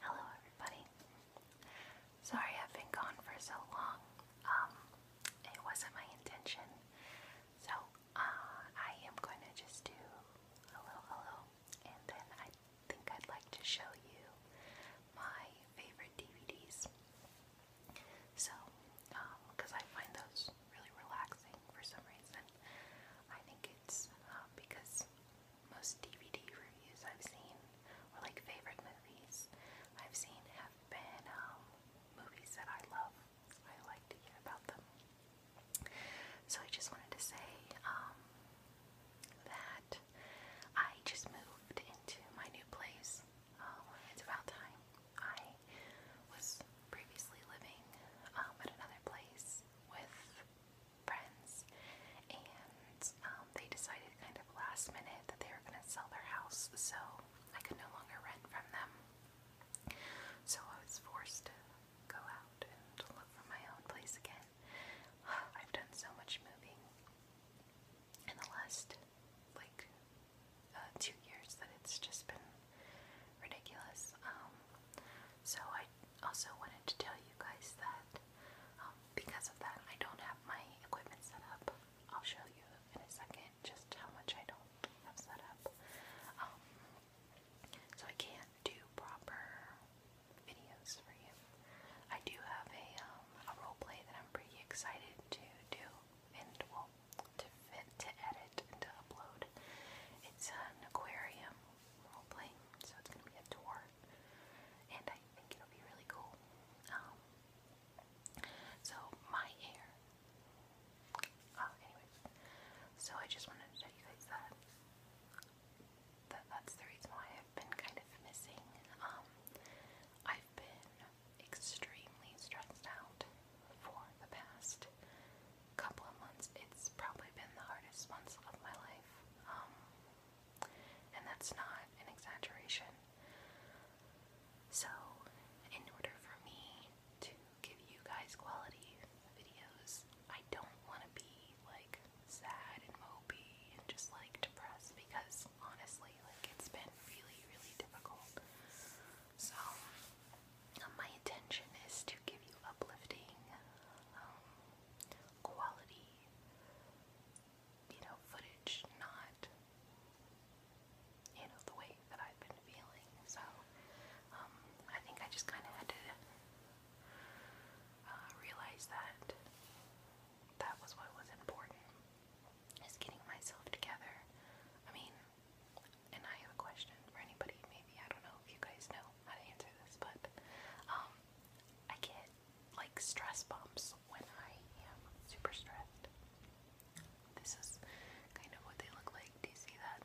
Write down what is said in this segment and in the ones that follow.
Hello, everybody. Sorry I've been gone for so long. Um, it wasn't my intention. So, uh, I am going to just do hello, hello, and then I think I'd like to show you my favorite DVDs. So, because um, I find those really relaxing for some reason. I think um, because most DVD reviews I've seen, or like favorite movies I've seen, have been um, movies that I love. I like to hear about them. So I just wanted to say um, that I just moved into my new place. it's about time. I was previously living at another place with friends, and um, they decided kind of last minute that they were going to sell their house, so I could no longer rent from them. So I was forced to go out and look for my own place again. I've done so much moving in the last like uh, two years that it's just been ridiculous. Um, so I also wanted to tell you guys that um, because of that, I don't have my equipment set up. I'll show you in a second just how much I don't have set up. Um, so I can't do proper videos for you. I do have a, a role play that I'm pretty excited to do and well, to fit to edit to upload. It's an aquarium so it's gonna be a tour, and I think it'll be really cool. Um, so my hair. Ah, so I just wanted to tell you guys that. That that's the reason why I've been kind of missing. Um, I've been extremely stressed out for the past couple of months, it's probably been the hardest months of my life. Um, and that's not an exaggeration. So, in order for me to give you guys quality videos, I don't want to be like sad and mopey and just like depressed because honestly, like it's been really, really difficult. So, um, my intention is to give you uplifting, um, quality, you know, footage, not, you the way that I've been feeling. So, um, I think I just kind of had to uh, realize that that was what was important, is getting myself together. I mean, and I have a question for anybody. Maybe I don't know if you guys know how to answer this, but um, I get like stress bumps when I am super stressed. This is kind of what they look like. Do you see that?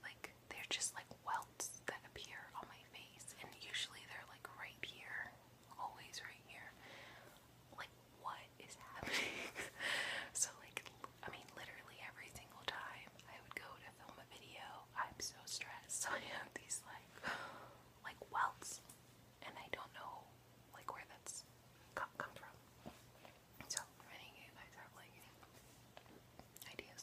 Like they're just like welts that appear on my face, and usually they're like right here, always right here. Like what is happening? so like I mean, literally every single time I would go to film a video, I'm so stressed. So I have these like, like welts, and I don't know like where that's come, from. So, any of you guys have like ideas,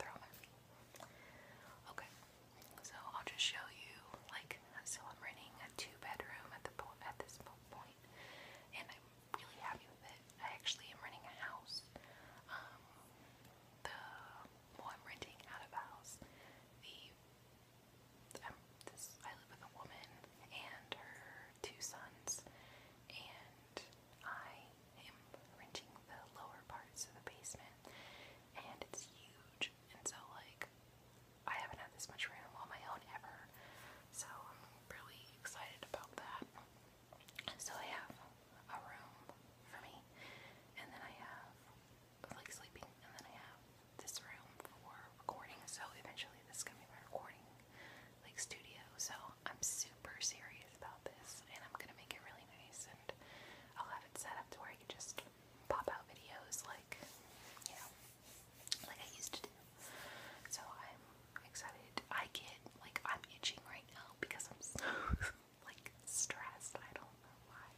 throw them at me. Okay, so I'll just show you like so. I'm renting a two bedroom at the at this point, and I'm really happy with it. I actually am renting a house. Um, the well, I'm renting out of house. The um, I live with a woman and her two sons, and I am renting the lower parts of the basement, and it's huge. And so like I haven't had this much room on my own ever, so really excited about that. So I have a room for me, and then I have like sleeping, and then I have this room for recording. So eventually, this is gonna be my recording like studio. So I'm super serious about this, and I'm gonna make it really nice, and I'll have it set up to where I can just pop out videos like you know like I used to do. So I'm excited. I get like I'm itching right now because I'm like stressed. I don't know why.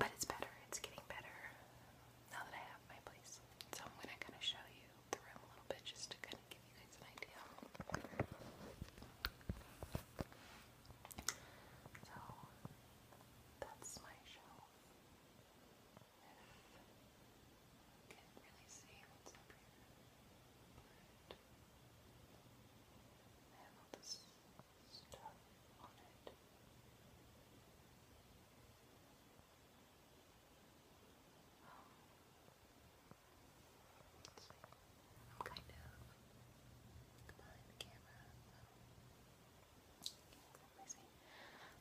But it's better. It's getting better now that I have my place. So I'm gonna kind of show you the room a little bit just to kind of give you guys an idea. So that's my shelf. Can't really see what's up here. I have all this stuff on it. I'm kind of behind the camera, so can't exactly see.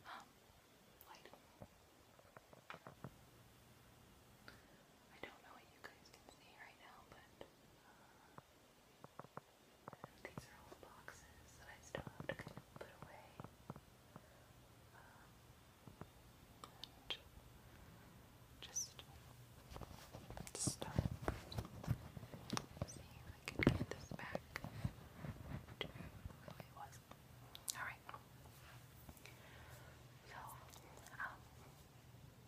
Um, light. I don't know what you guys can see right now, but uh, these are all boxes that I still have to kind of put away. Um, just start seeing if I can get this back to who it Alright. So, um,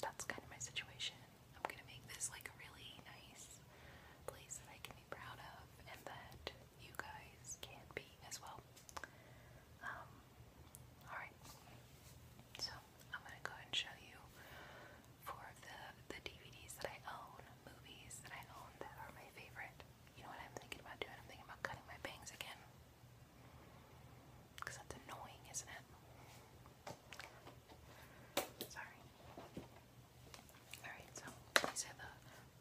that's kind of my situation. I'm gonna make this like a really nice place that I can be proud of and that you guys can be as well. Um, alright. So, I'm gonna go and show you four of the, the DVDs that I own, movies that I own that are my favorite. You know what I'm thinking about doing? I'm thinking about cutting my bangs again. Because that's annoying, isn't it? Sorry. Alright, so these are the,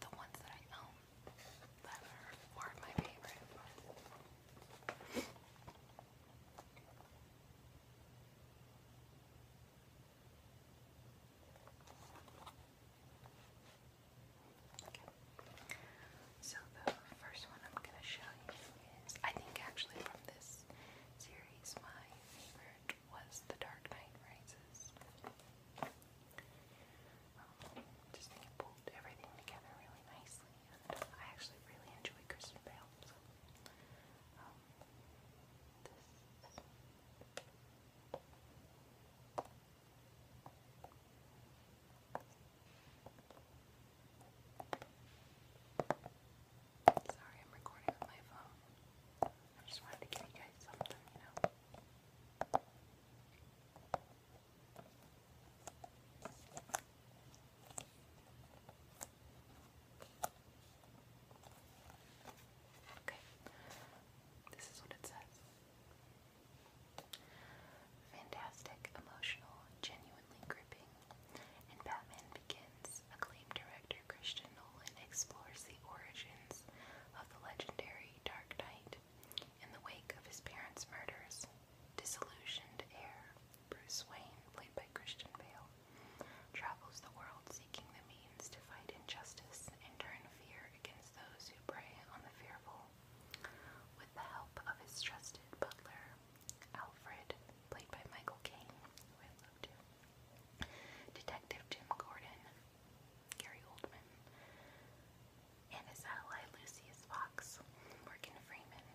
the ones that I own that are more of my favorite. Okay. So the first one I'm gonna show you is I think actually from this series my favorite was The Dark Knight Rises. Um, just pulled everything together really nicely I actually really enjoy Kristen Bale, um, Sorry, I'm recording with my phone. I just wanted to give you guys something, you know. Okay. This is what it says. Fantastic, emotional, genuinely gripping, and Batman Begins, acclaimed director Christian Nolan explores the origins of the legendary Dark Knight in the wake of his parents' murders. Disillusioned heir Bruce Wayne, played by Christian Bale, travels the world seeking the means to fight injustice and turn fear against those who prey on the fearful. With the help of his trusted butler, Alfred, played by Michael Caine, Detective Jim Gordon, Gary Oldman, and his ally Lucius Fox, Morgan Freeman,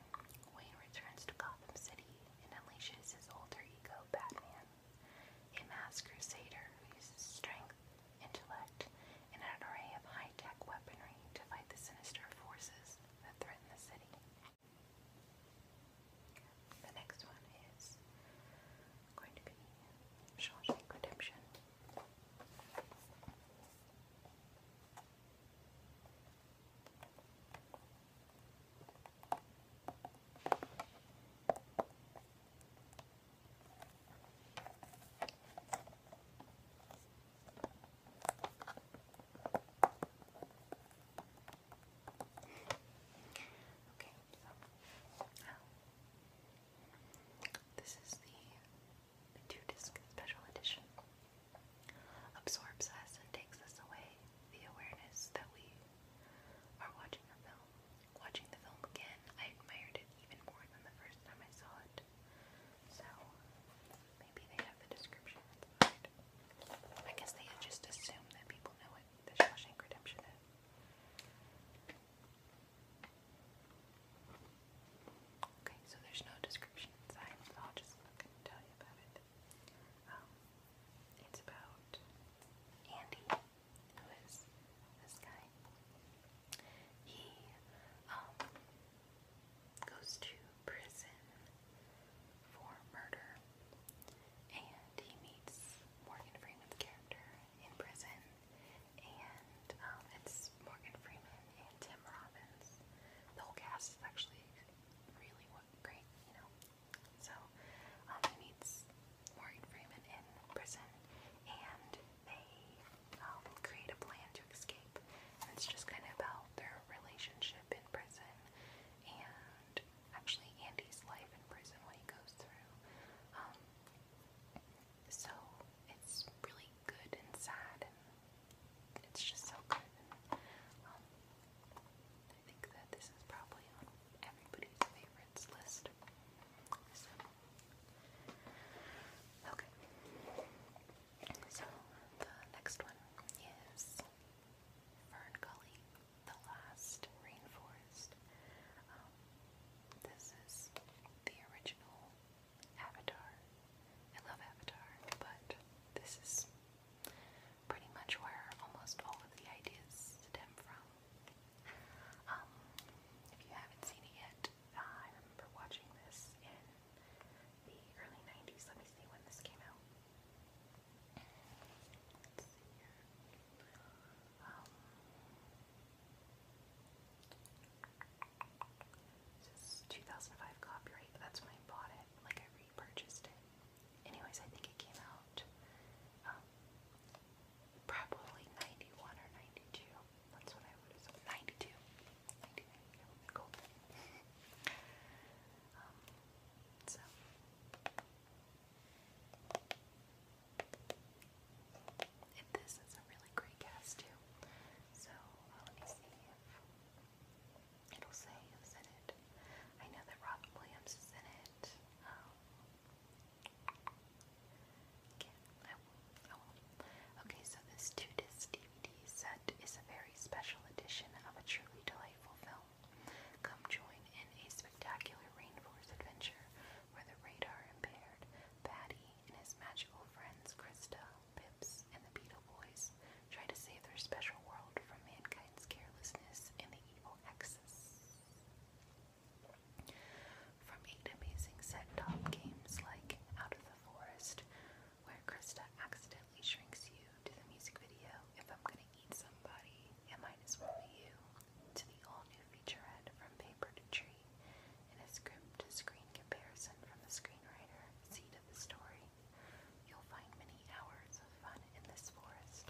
Wayne returns to Gotham City and unleashes his alter ego, Batman, a mass crusader who uses strength, intellect, and an array of high-tech weaponry to fight the sinister forces that threaten the city. The next one is going to be Shawshank Redemption. Okay, so this is the two disc special edition. Absorbs us and takes us away the awareness that we are watching a film Watching the film again, I admired it even more than the first time I saw it. So, maybe they have the description I guess they just assume that people know what the Shawshank Redemption is. Okay, so there's no description inside, so I'll just look and tell you about it. Um, it's about Andy who is this guy, he um, goes to prison for murder and he meets Morgan Freeman's character in prison and um, it's Morgan Freeman and Tim Robbins. The whole cast is actually really great, you know. So um, he meets Morgan Freeman in prison, and they um, create a plan to escape. And it's just kind of about their relationship in prison, and actually Andy's life in prison, what he goes through. Um, so it's really good and sad, and it's just so good. And, um, I think that this is probably on everybody's favorites list. So Okay. So the next one is Fern the last rainforest. Um, this is the original Avatar. I love Avatar, but this is pretty much where almost all of the ideas stem from. Um, if you haven't seen it yet, I remember watching this in the early 90s. Let me see when this came out. Let's see here. Um, 2005 copyright. That's when I bought it. Like I repurchased it. Anyways, I think it came out um, probably 91 or 92. That's what I would have said. 92. 92. Cool. um, so. And this is a really great gas too. So uh, let me see if it'll say who's in it. I know that Robin Williams is in it. Um, Okay, I so this two disc DVD set is a very special edition of a truly delightful film. Come join in a spectacular rainforest adventure where the radar impaired Patty and his magical friends Krista, Pips, and the Beetle Boys try to save their special world from mankind's carelessness and the evil Hexes. From eight amazing set-top games like Out of the Forest, where Krista accidentally shrinks you, to the music video If I'm Gonna Eat Somebody, It Might As Well Be You, to the all-new featurette From Paper to Tree, and a script-to-screen comparison from the screenwriter, Seed of the Story, you'll find many hours of fun in this forest.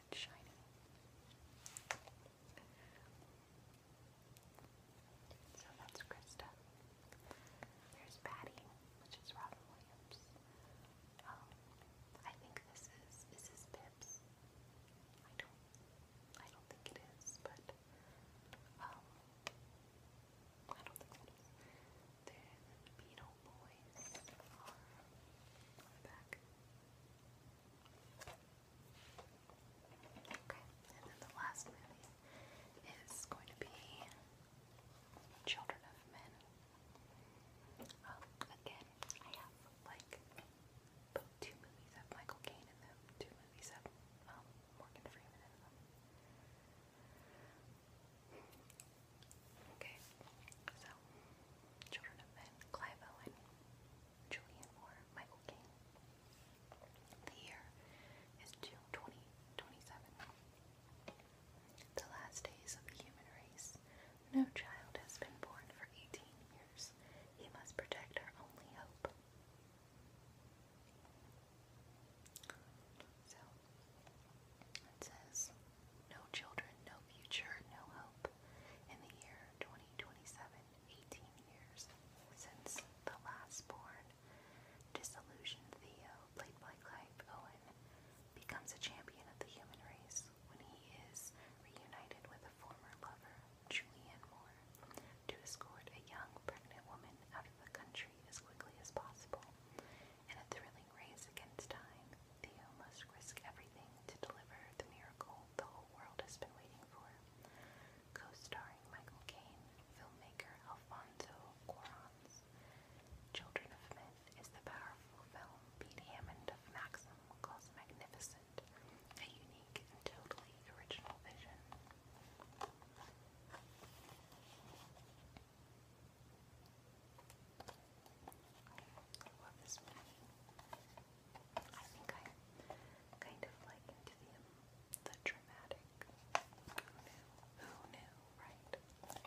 and shiny. So that's Krista. There's Patty, which is Robin Williams. Um, I think this is is Pips. I don't I don't think it is, but um, I don't think it is. Then Beetle Boys are back. Okay, and then the last movie is going to be Children of Men. Um, again, I have like two movies of Michael Caine in two movies of um, Morgan Freeman Okay, so Children of Men, Clive Owen, Julian Moore, Michael Caine. The year is 2027. The last days of the human race. No child has been born for 18 years. He must protect our only hope. So, it says no children, no future, no hope. In the year 2027, 18 years since the last born, disillusioned Theo, played by Clive Owen, becomes a champion of the human race when he is reunited with a former lover, Julian Moore, to escort a young pregnant woman out of the country as quickly as possible in a thrilling race against time. Theo must risk everything to deliver the miracle the whole world has been waiting for. Co-starring Michael Caine, filmmaker Alfonso Cuarón. Children of Men is the powerful film Pete Hammond of Maxim calls magnificent, a unique and totally original vision. I love I think kind of like the, dramatic. Who knew? Who knew, right?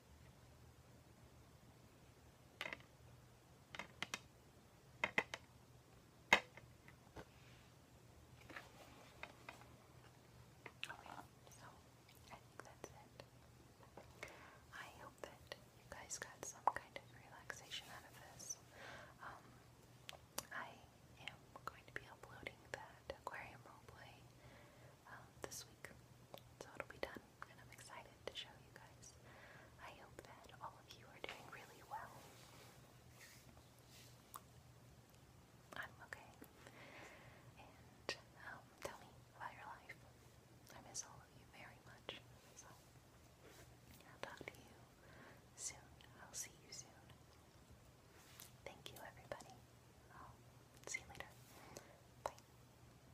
Okay, so I think that's it. I hope that you guys got some kind of relaxation out of this. Um, I am going to be uploading that aquarium roleplay um, this week, so it'll be done and I'm excited to show you guys. I hope that all of you are doing really well. I'm okay. And um, tell me about your life. I miss all of you very much. So I'll talk to you soon. I'll see you soon. Thank you, everybody. I'll see you later. Bye.